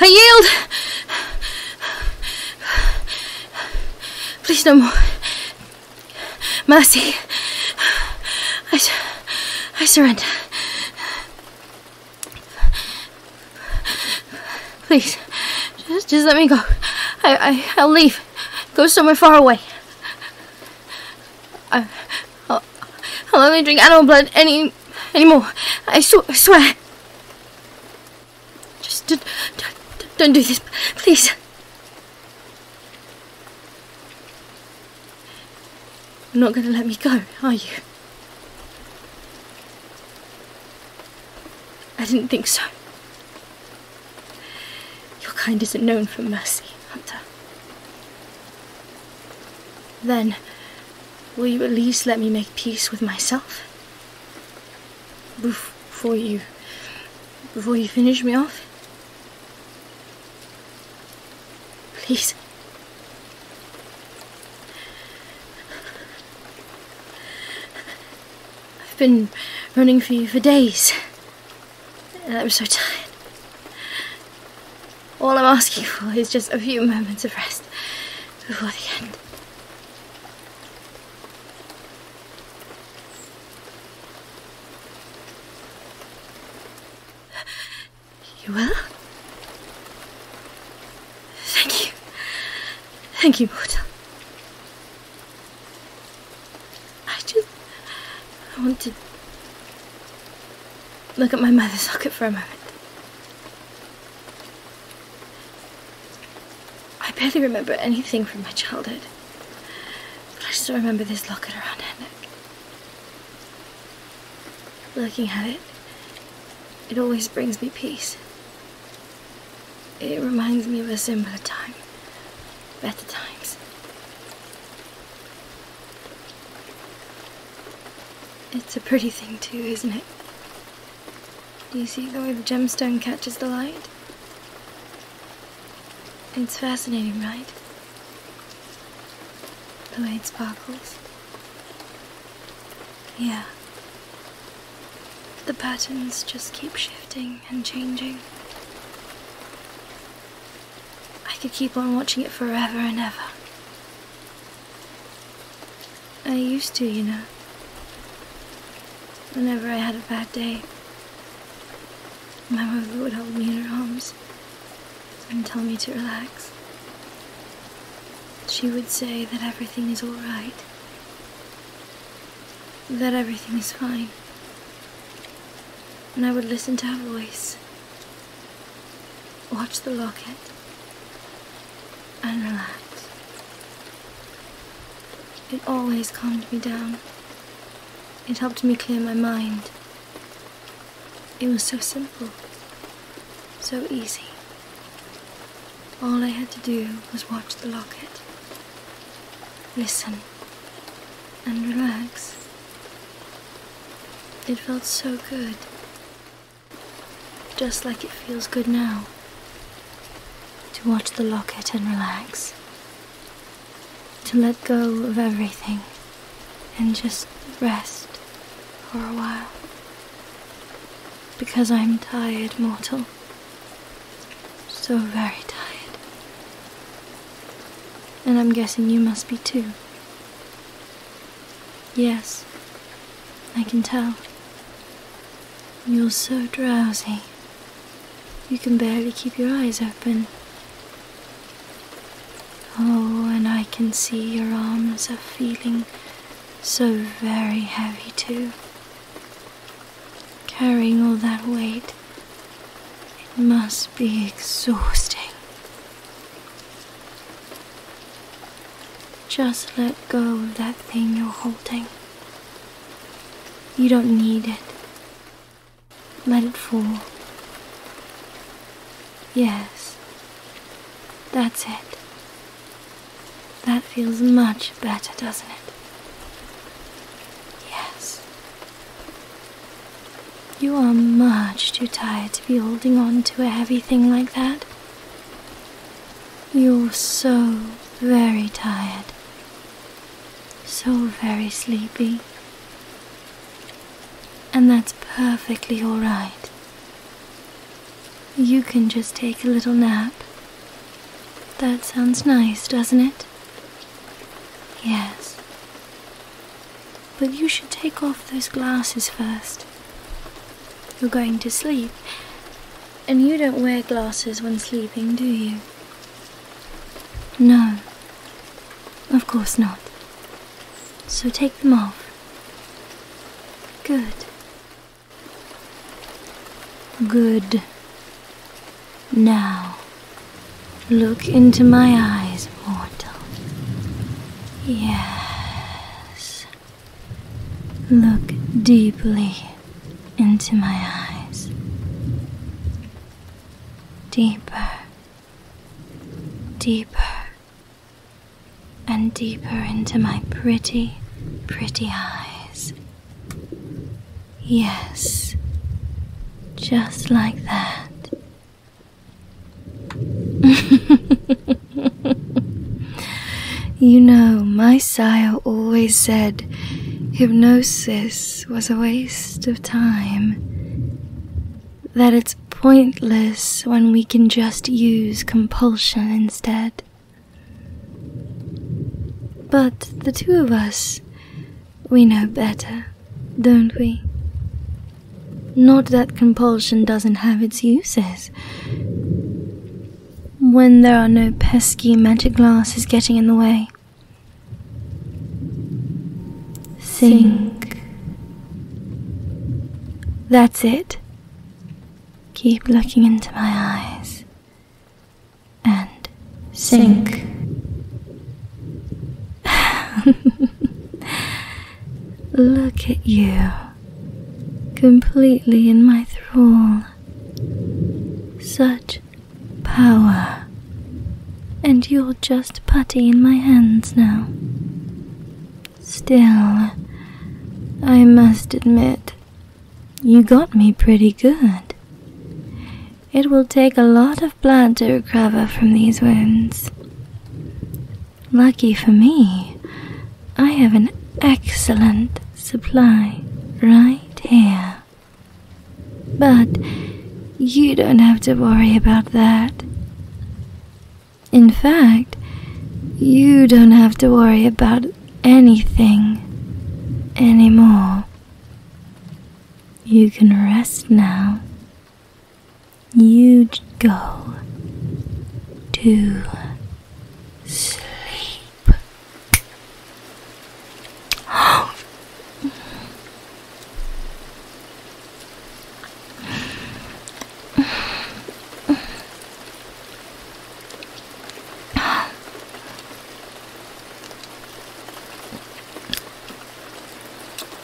I yield! Please no more. Mercy. I, I surrender. Please, just, just let me go. I, I, I'll leave. Go somewhere far away. I, Oh, will me will only drink animal blood any anymore. I, sw I swear. Just don't, don't, don't do this, please. You're not going to let me go, are you? I didn't think so. Your kind isn't known for mercy, Hunter. Then, will you at least let me make peace with myself? Before you. before you finish me off? Please. I've been running for you for days. I'm so tired. All I'm asking for is just a few moments of rest before the end. You will? Thank you. Thank you, Mortal. I just. I want to. Look at my mother's locket for a moment. I barely remember anything from my childhood. But I still remember this locket around her neck. Looking at it, it always brings me peace. It reminds me of a simpler time, better times. It's a pretty thing too, isn't it? Do you see the way the gemstone catches the light? It's fascinating, right? The way it sparkles. Yeah. The patterns just keep shifting and changing. I could keep on watching it forever and ever. I used to, you know. Whenever I had a bad day, my mother would hold me in her arms and tell me to relax. She would say that everything is alright, that everything is fine. And I would listen to her voice Watch the locket and relax. It always calmed me down. It helped me clear my mind. It was so simple, so easy. All I had to do was watch the locket, listen, and relax. It felt so good. Just like it feels good now. To watch the locket and relax. To let go of everything and just rest for a while. Because I'm tired, mortal. So very tired. And I'm guessing you must be too. Yes, I can tell. You're so drowsy. You can barely keep your eyes open. Oh, and I can see your arms are feeling so very heavy too. Carrying all that weight, it must be exhausting. Just let go of that thing you're holding. You don't need it. Let it fall. Yes, that's it. That feels much better, doesn't it? Yes. You are much too tired to be holding on to a heavy thing like that. You're so very tired, so very sleepy, and that's perfectly alright. You can just take a little nap. That sounds nice, doesn't it? Yes. But you should take off those glasses first. You're going to sleep, and you don't wear glasses when sleeping, do you? No, of course not. So take them off. Good. Good. Now, look into my eyes mortal. Yes. Look deeply into my eyes. Deeper, deeper, and deeper into my pretty, pretty eyes. Yes, just like that. you know, my sire always said hypnosis was a waste of time. That it's pointless when we can just use compulsion instead. But the two of us, we know better don't we? Not that compulsion doesn't have its uses. When there are no pesky magic glasses getting in the way. Sink. That's it. Keep looking into my eyes. And sink. Look at you, completely in my thrall. Such power. And you're just putty in my hands now. Still, I must admit, you got me pretty good. It will take a lot of blood to recover from these wounds. Lucky for me, I have an excellent supply right here. But you don't have to worry about that. In fact, you don't have to worry about anything anymore. You can rest now you go to sleep.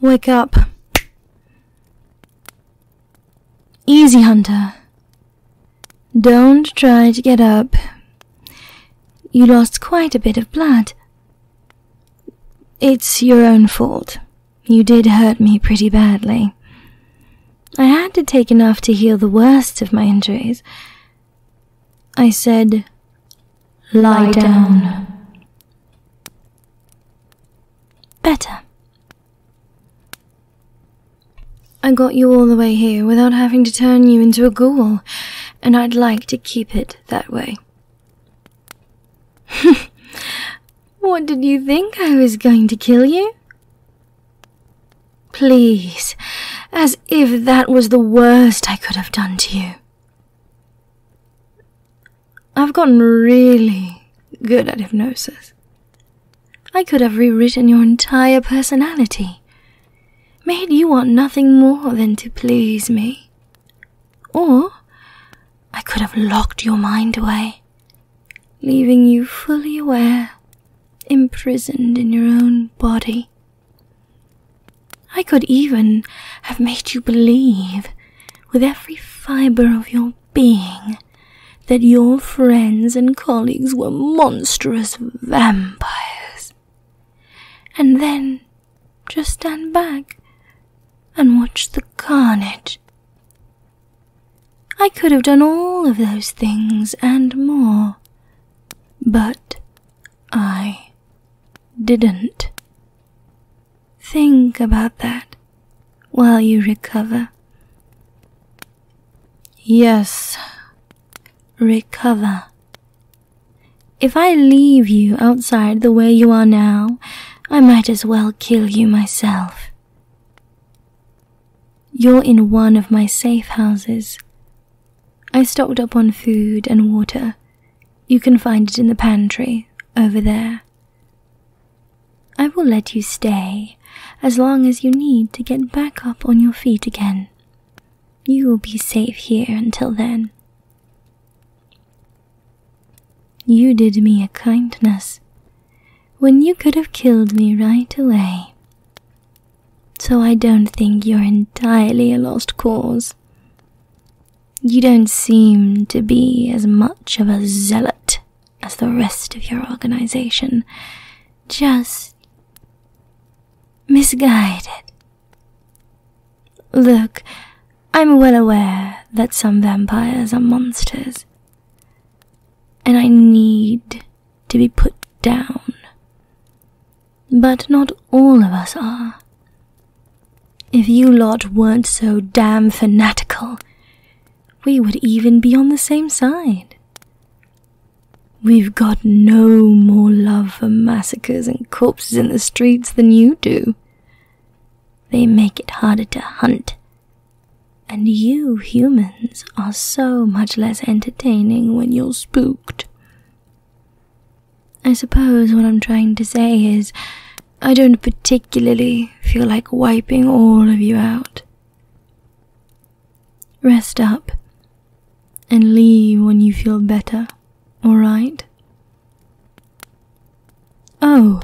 Wake up. Easy, Hunter. Don't try to get up. You lost quite a bit of blood. It's your own fault. You did hurt me pretty badly. I had to take enough to heal the worst of my injuries, I said, Lie down. Better. I got you all the way here without having to turn you into a ghoul, and I'd like to keep it that way. what did you think I was going to kill you? Please, as if that was the worst I could have done to you. I've gotten really good at hypnosis. I could have rewritten your entire personality, made you want nothing more than to please me. Or I could have locked your mind away, leaving you fully aware imprisoned in your own body. I could even have made you believe, with every fibre of your being, that your friends and colleagues were monstrous vampires. And then just stand back and watch the carnage. I could have done all of those things and more but I didn't. Think about that while you recover. Yes. Recover. If I leave you outside the way you are now, I might as well kill you myself. You're in one of my safe houses, I stocked up on food and water. You can find it in the pantry over there. I will let you stay as long as you need to get back up on your feet again. You will be safe here until then. You did me a kindness when you could have killed me right away so I don't think you're entirely a lost cause. You don't seem to be as much of a zealot as the rest of your organization, just misguided. Look, I'm well aware that some vampires are monsters, and I need to be put down. But not all of us are. If you lot weren't so damn fanatical, we would even be on the same side. We've got no more love for massacres and corpses in the streets than you do. They make it harder to hunt. And you humans are so much less entertaining when you're spooked. I suppose what I'm trying to say is I don't particularly feel like wiping all of you out. Rest up and leave when you feel better, alright? Oh,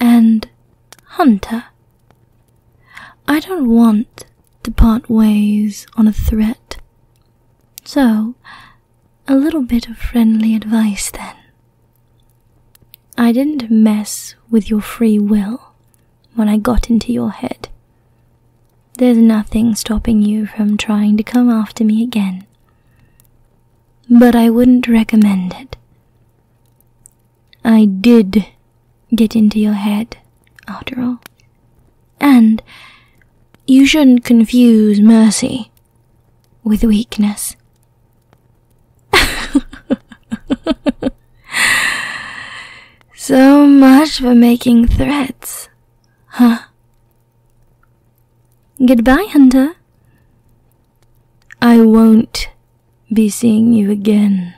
and Hunter. I don't want to part ways on a threat. So, a little bit of friendly advice then. I didn't mess with your free will when I got into your head. There's nothing stopping you from trying to come after me again. But I wouldn't recommend it. I did get into your head, after all. And you shouldn't confuse mercy with weakness. so much for making threats, huh? Goodbye, Hunter. I won't be seeing you again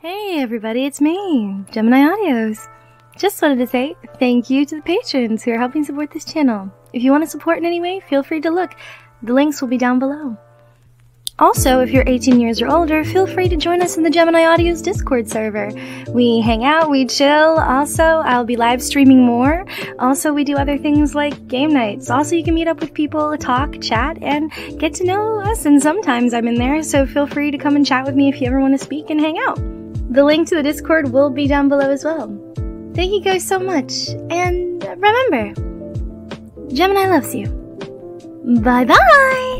Hey everybody, it's me, Gemini Audios. Just wanted to say thank you to the patrons who are helping support this channel. If you want to support in any way, feel free to look. The links will be down below. Also, if you're 18 years or older, feel free to join us in the Gemini Audios Discord server. We hang out, we chill. Also, I'll be live streaming more also, we do other things like game nights. Also, you can meet up with people, talk, chat, and get to know us. And sometimes I'm in there, so feel free to come and chat with me if you ever want to speak and hang out. The link to the Discord will be down below as well. Thank you guys so much, and remember, Gemini loves you. Bye bye!